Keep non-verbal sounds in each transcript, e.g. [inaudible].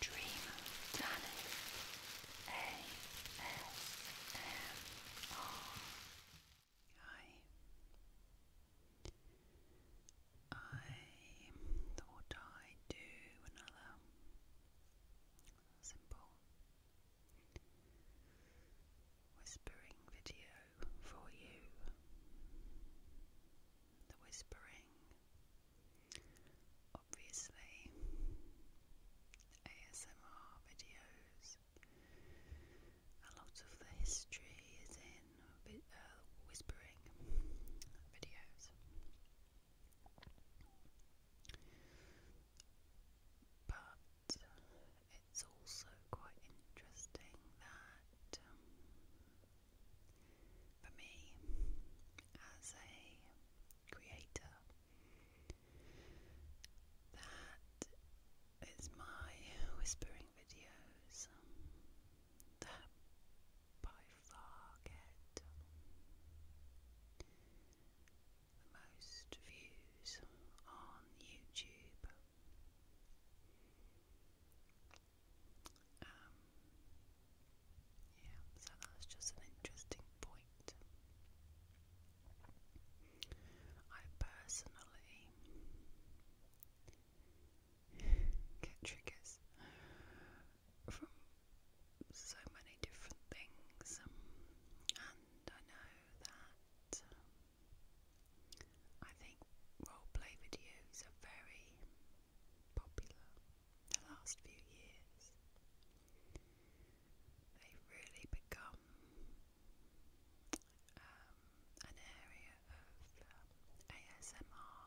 Dream Danny ASMR. thought I'd do another simple whispering video for you. The whispering obviously, ASMR videos. A lot of the history is in uh, whispering videos. But it's also quite interesting that um, for me, as a creator, that is my whispering videos that by far get the most views on YouTube. Um, yeah, so that's just an interesting point. I personally get triggers from so many different things, and I know that I think roleplay videos are very popular the last few years. They've really become um, an area of um, ASMR,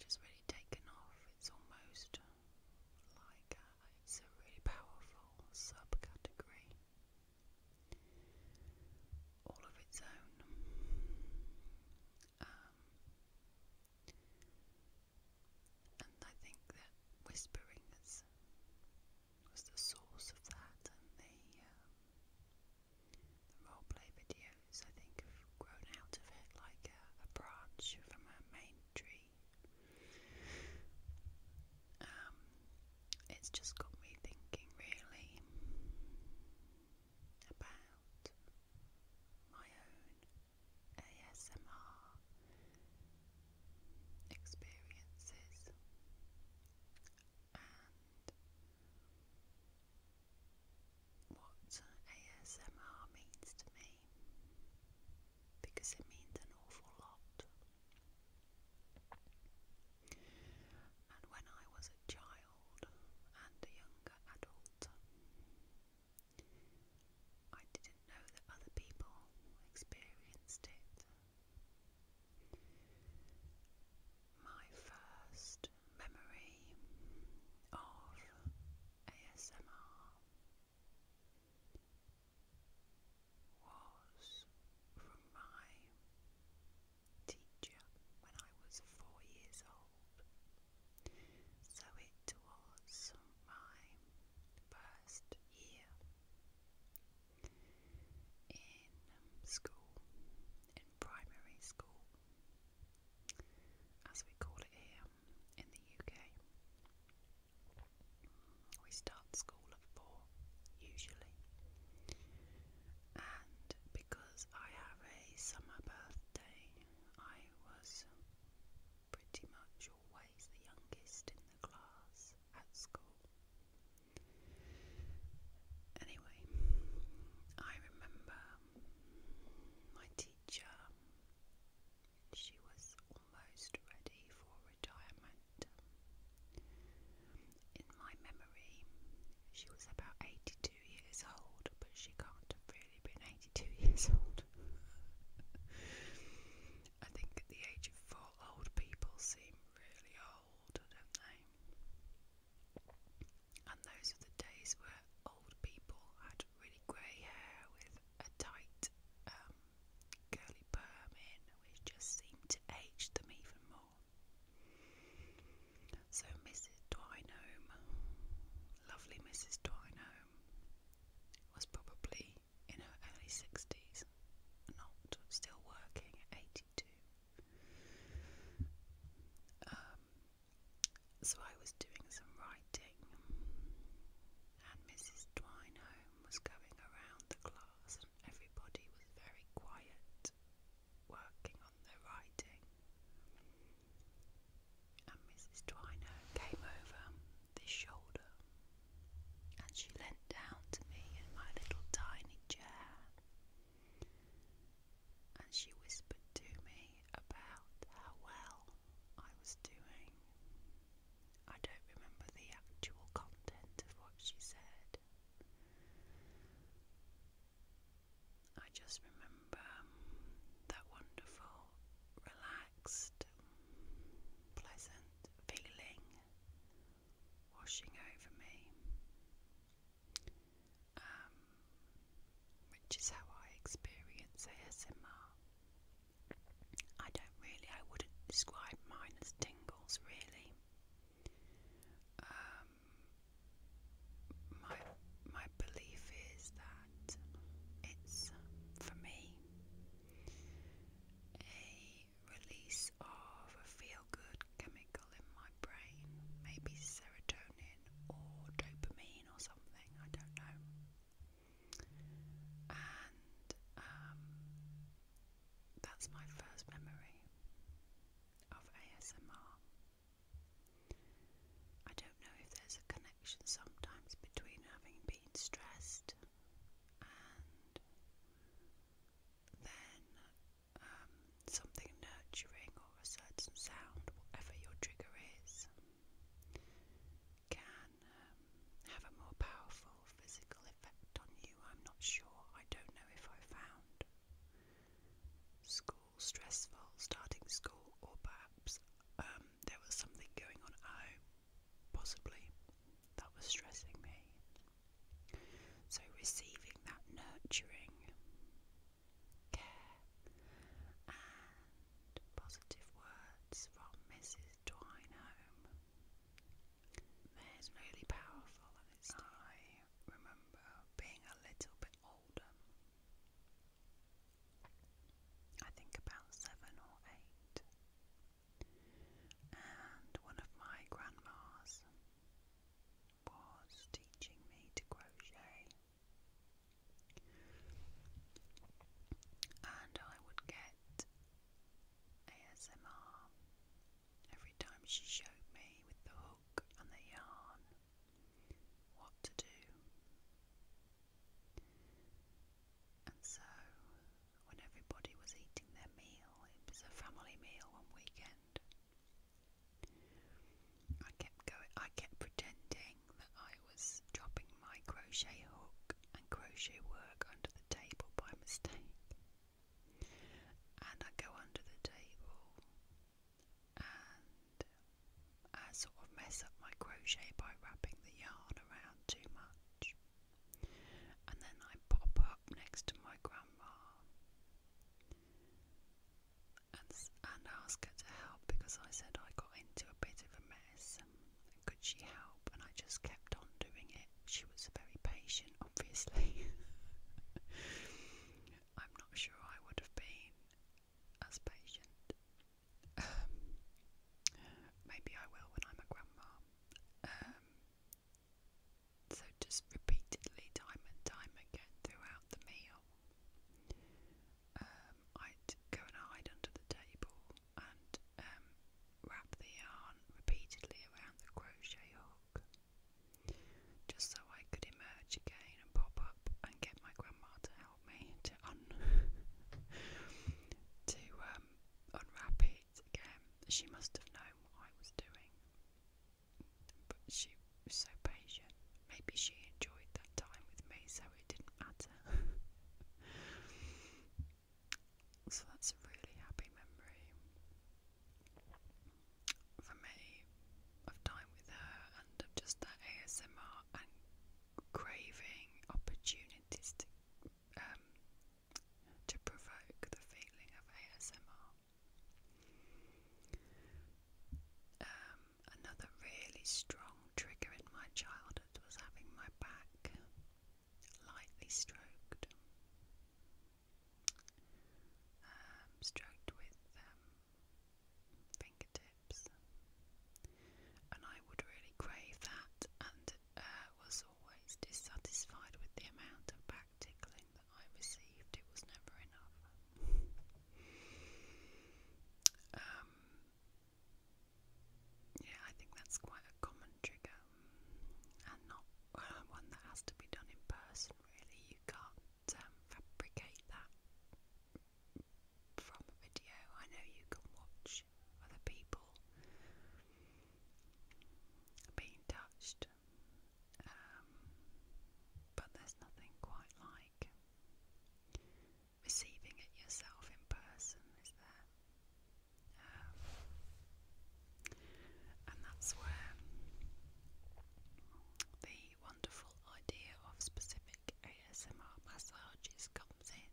which has really taken off. It's almost like a, it's a really powerful subcategory, all of its own. Um, and I think that whispering is, was the source of that, and the, um, the role play videos I think have grown out of it like a, a branch from a main tree. Um, it's just got me thinking, really about my own ASMR experiences and what ASMR means to me because it means an awful lot. And when I was a child, child and a younger adult. I didn't know that other people experienced it. My first memory of ASMR was from my teacher when I was four years old. So it was my first year in um, school, in primary school, as we call it here um, in the UK. We start school at four usually, and because I have a summer birthday, I was pretty much always the youngest in the class at school. Anyway, I remember my teacher, she was almost ready for retirement. In my memory, she was about 82 82 years old, but she can't have really been 82 [laughs] years old. I think at the age of four, old people seem really old, don't they? And those are the days where old people had really grey hair with a tight, um, curly perm in, which just seemed to age them even more. So, Mrs. Dwinome, lovely Mrs. Dwinome, was probably in her early 60s, not still working at 82. Um, so, I was doing some writing, and Mrs. Dwinome was going around the class, and everybody was very quiet working on their writing and Mrs. Twiner came over this shoulder, and she leant down to me in my little tiny chair, and she whispered to me about how well I was doing. I don't remember the actual content of what she said. I just remember um, that wonderful, relaxed, pleasant feeling washing over me, um, which is how I experience ASMR. I don't really, I wouldn't describe mine as tingles really. Um, my my belief is that it's for me a release of a feel good chemical in my brain, maybe serotonin or dopamine or something, I don't know. And um, that's my first memory of ASMR. I don't know if there's a connection sometimes between having been stressed and then um, something nurturing or a certain sound, whatever your trigger is, can um, have a more powerful physical effect on you. I'm not sure. I don't know if I found School stressful, starting school, or perhaps um, there was something going on at home, possibly, that was stressing me. So, receiving that nurturing care and positive words from Mrs. Dwinehome. There's really powerful, and it's I remember being a little bit older I think about seven or eight. And one of my grandmas was teaching me to crochet. And I would get ASMR every time she showed me with the hook and the yarn what to do. And so, when everybody was eating their meal, it was a family meal one weekend. I kept going. I kept pretending that I was dropping my crochet hook and crochet work under the table by mistake, and I go under the table, and I sort of mess up my crochet by wrapping the yarn around too much. And then I pop up next to my grandma and, and ask her to help because I said I got into a bit of a mess. Could she help? And I just kept on doing it. She was very patient, obviously. [laughs] I'm not sure I would have been as patient. Um, maybe I will when I'm a grandma. Um, so just repeatedly, time and time again throughout the meal, um, I'd go and hide under the table and um, wrap the yarn repeatedly around the crochet hook just so I could emerge again and pop up and get my grandma to help me to un [laughs] to um, unwrap it again. She must have known what I was doing, but she was so patient. Maybe she enjoyed that time with me, so it didn't matter. [laughs] so that's a really happy memory for me of time with her and just that ASMR craving opportunities um, to provoke the feeling of ASMR. Um, another really strong trigger in my childhood was having my back lightly stroked. Um, stroked with fingertips. And I would really crave that and uh, was always dissatisfied with the amount of back tickling that I received. It was never enough. um, yeah, I think that's quite a common trigger and not uh, [laughs] one that has to be done in person, really. You can't um, fabricate that from a video. I know you can watch other people being touched, um, but there's nothing quite like receiving it yourself in person, is there? Um, and that's where the the wonderful idea of specific ASMR massages comes in,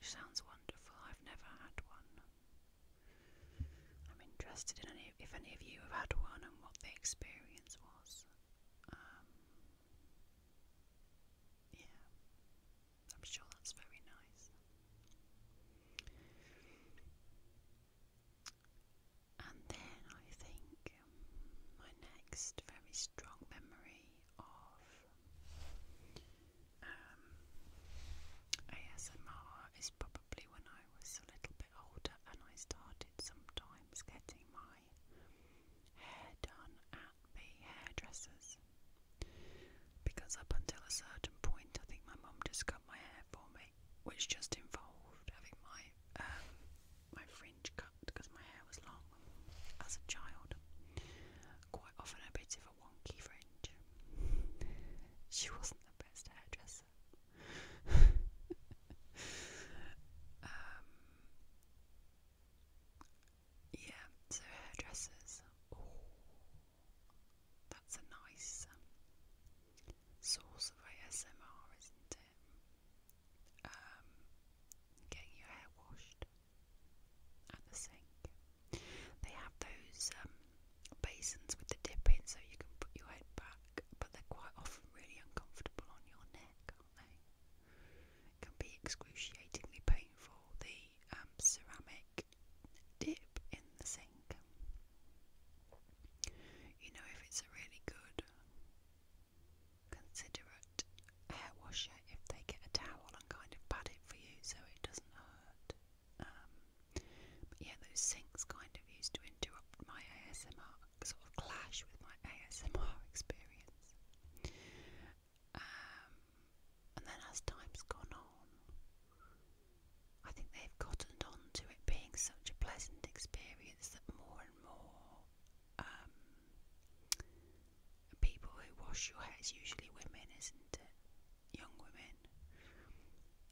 which sounds wonderful. I've never had one. I'm interested in any, if any of you have had one and what the experience was. Um, yeah, I'm sure that's very nice. And then I think um, my next very strong memory of um, ASMR is probably when I was a little bit older and I started sometimes getting my hair done at the hairdressers. Because up until a certain point, I think my mum just cut my hair for me, which just involved having my um, my fringe cut because my hair was long as a child. Quite often a bit of a wonky fringe. She wasn't the best hairdresser. [laughs] Um, yeah, so hairdressers. that's a nice um, source of ASMR, isn't it? um, getting your hair washed at the sink. They have those um, basins with the dip in so you can put your head back, but they're quite often really uncomfortable on your neck, aren't they? It can be excruciatingly painful, the um, ceramic dip in the sink. You know, if it's a really good considerate hair washer if they get a towel and kind of pat it for you so it doesn't hurt. Um, but yeah, those sinks kind of used to interrupt my ASMR, sort of clash with my ASMR [laughs] experience. Um, and then as time's gone on, I think they've cottoned on to it being such a pleasant experience that more and more um, people who wash your hair. It's usually women, isn't it? Young women.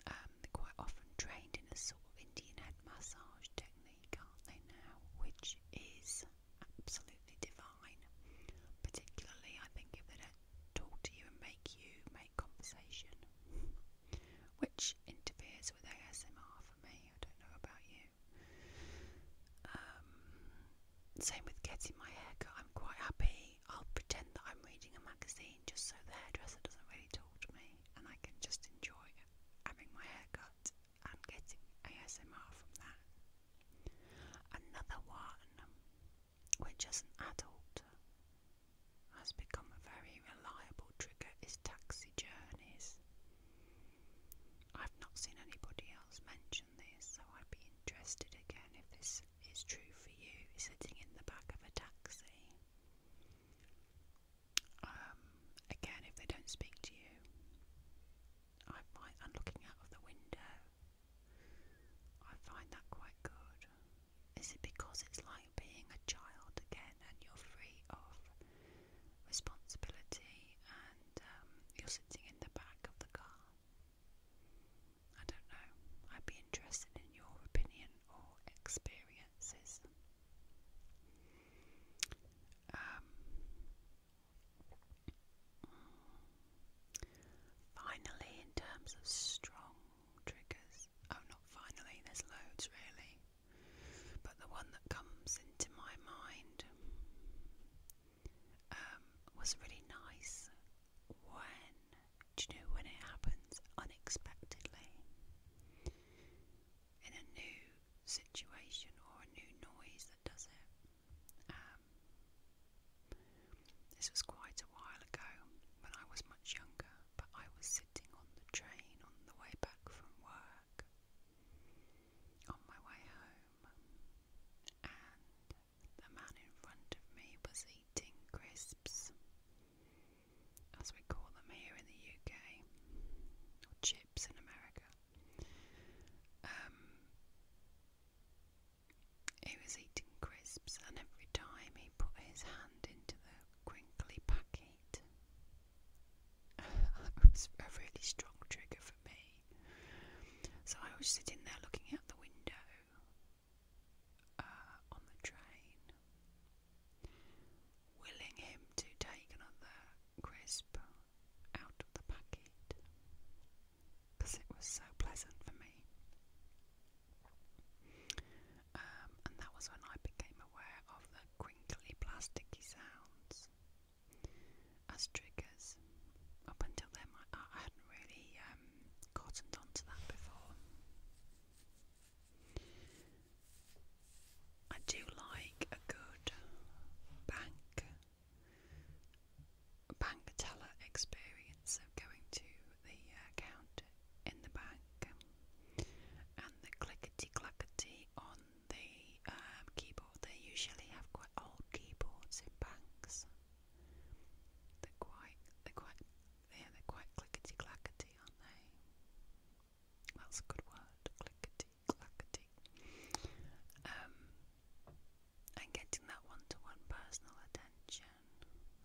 Um, they're quite often trained in a sort of Indian head massage technique, aren't they now? Which is absolutely divine. Particularly, I think, if they don't talk to you and make you make conversation, [laughs] which interferes with ASMR for me. I don't know about you. Um, same with getting my haircut. I'm quite happy. I'll pretend that I'm reading a magazine just so the hairdresser doesn't really talk to me, and I can just enjoy having my haircut and getting ASMR from that. Another one, which as an adult has become a very reliable trigger, is taxi journeys. I've not seen anybody else mention this, so I'd be interested again if this is true for you sitting in the back of a taxi. Um, again, if they don't speak to you, I find and looking out of the window, I find that quite good. Is it because it's like being a child again and you're free of responsibility, and um, you're sitting in the back of the car. I don't know. I'd be interested in your opinion or experiences. Um, finally, in terms of strong triggers, oh, not finally, there's loads really. But the one that comes into my mind um, was really nice when, you know, when it happens unexpectedly in a new situation or a new noise that does it. Um, this was quite a while ago when I was much younger, but I was sitting on the train on the way back from work on my way home, and the man in front of me was eating crisps, as we call them here in the UK, or chips in America. Um, he was eating crisps, and every time he put his hand into the crinkly packet, it was a really strong trigger for me. So I was sitting there looking out the window uh, on the train, willing him to take another crisp out of the packet because it was so pleasant for me. Um, and that was when I became aware of the crinkly plasticky sounds as triggers. Up until then, I, I hadn't really um, cottoned onto that before. I do like a good bank bank teller experience of going to the account in the bank and the clickety clackety on the um, keyboard. They usually have quite old keyboards in banks. They're quite, they're quite, yeah, they're quite clickety clackety, aren't they? That's a good word, clickety clackety. Um, and getting that one-to-one personal attention,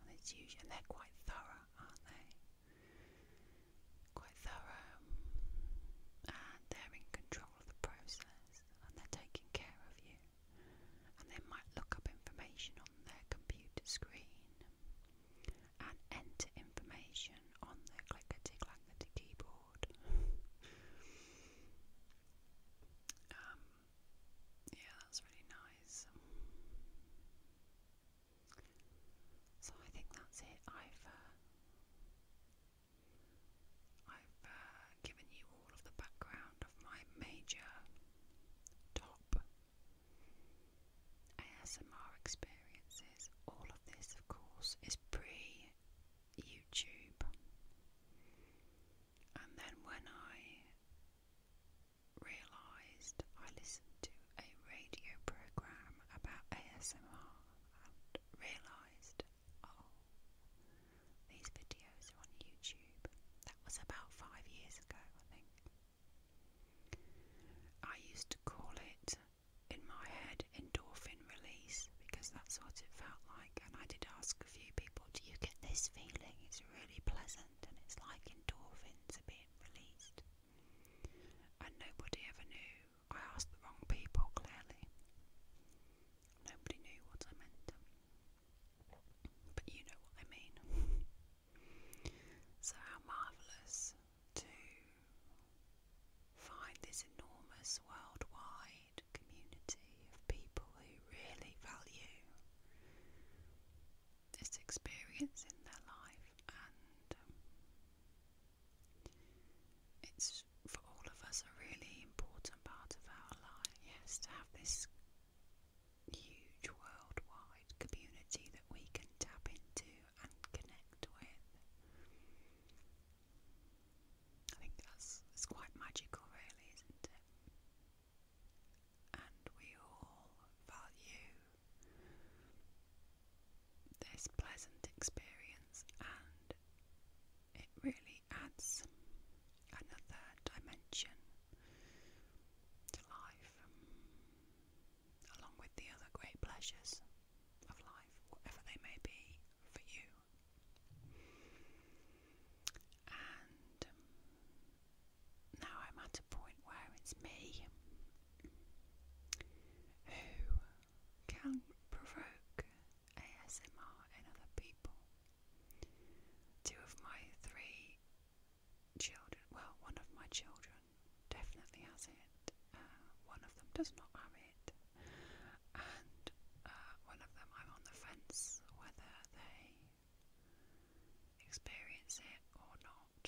and it's usually they're quite thorough, aren't they? quite thorough, and they're in control of the process, and they're taking care of you, and they might look up information on their computer screen and enter information on their clickety clackety keyboard. [laughs] Um, yeah, that's really nice. So I think that's it. i I've uh, given you all of the background of my major ASMR experiences. All of this, of course, is pre YouTube. And then when I realised I listened to a radio program about ASMR and realised, oh, these videos are on YouTube. That was about five years ago, I think. I used to call it, in my head, endorphin release because that's what it felt like. And I did ask a few people, do you get this feeling? It's really pleasant and it's like endorphins are being released. And nobody ever knew I asked the wrong people, clearly. Nobody knew what I meant. But you know what I mean. [laughs] so, how marvellous to find this enormous worldwide community of people who really value this experience in their life and um, it's for all of us a really important part of our life, yes, to have this huge worldwide community that we can tap into and connect with. I think that's it's quite magical really, isn't it? And we all value this pleasant experience and it really adds another dimension to life along with the other great pleasures of life, whatever they may be for you. And now I'm at a point where it's me who can provoke ASMR in other people. Two of my three children, well, one of my children definitely has it, uh, one of them does not have it, and uh, one of them I'm on the fence whether they experience it or not.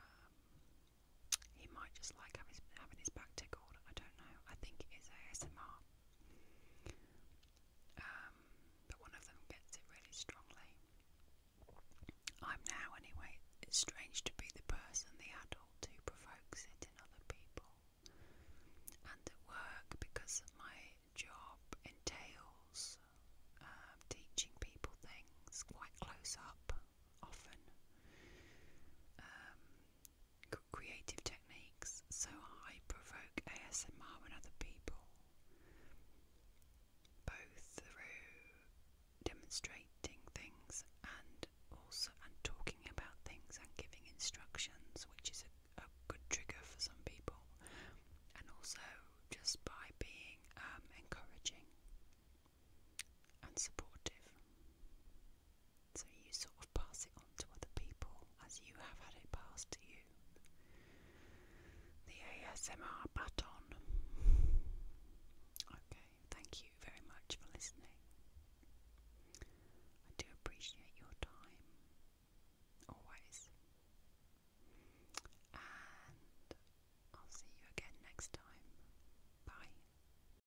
Um, he might just like having his, having his back tickled. I don't know. I think it is ASMR. Um, but one of them gets it really strongly. I'm now, anyway. It's strange to be the person, the adult, who provokes it in other people. And at work, because my job entails uh, teaching people things quite close up, often. Um, creative techniques, so I provoke ASMR in other people, both through demonstrating things and also and talking about things and giving instructions, which is a, good trigger for some people, and also just by being um, encouraging and supportive. So you sort of pass it on to other people as you have had it passed to you. The ASMR button. Okay, thank you very much for listening. I do appreciate your time, always. And I'll see you again next time. Bye.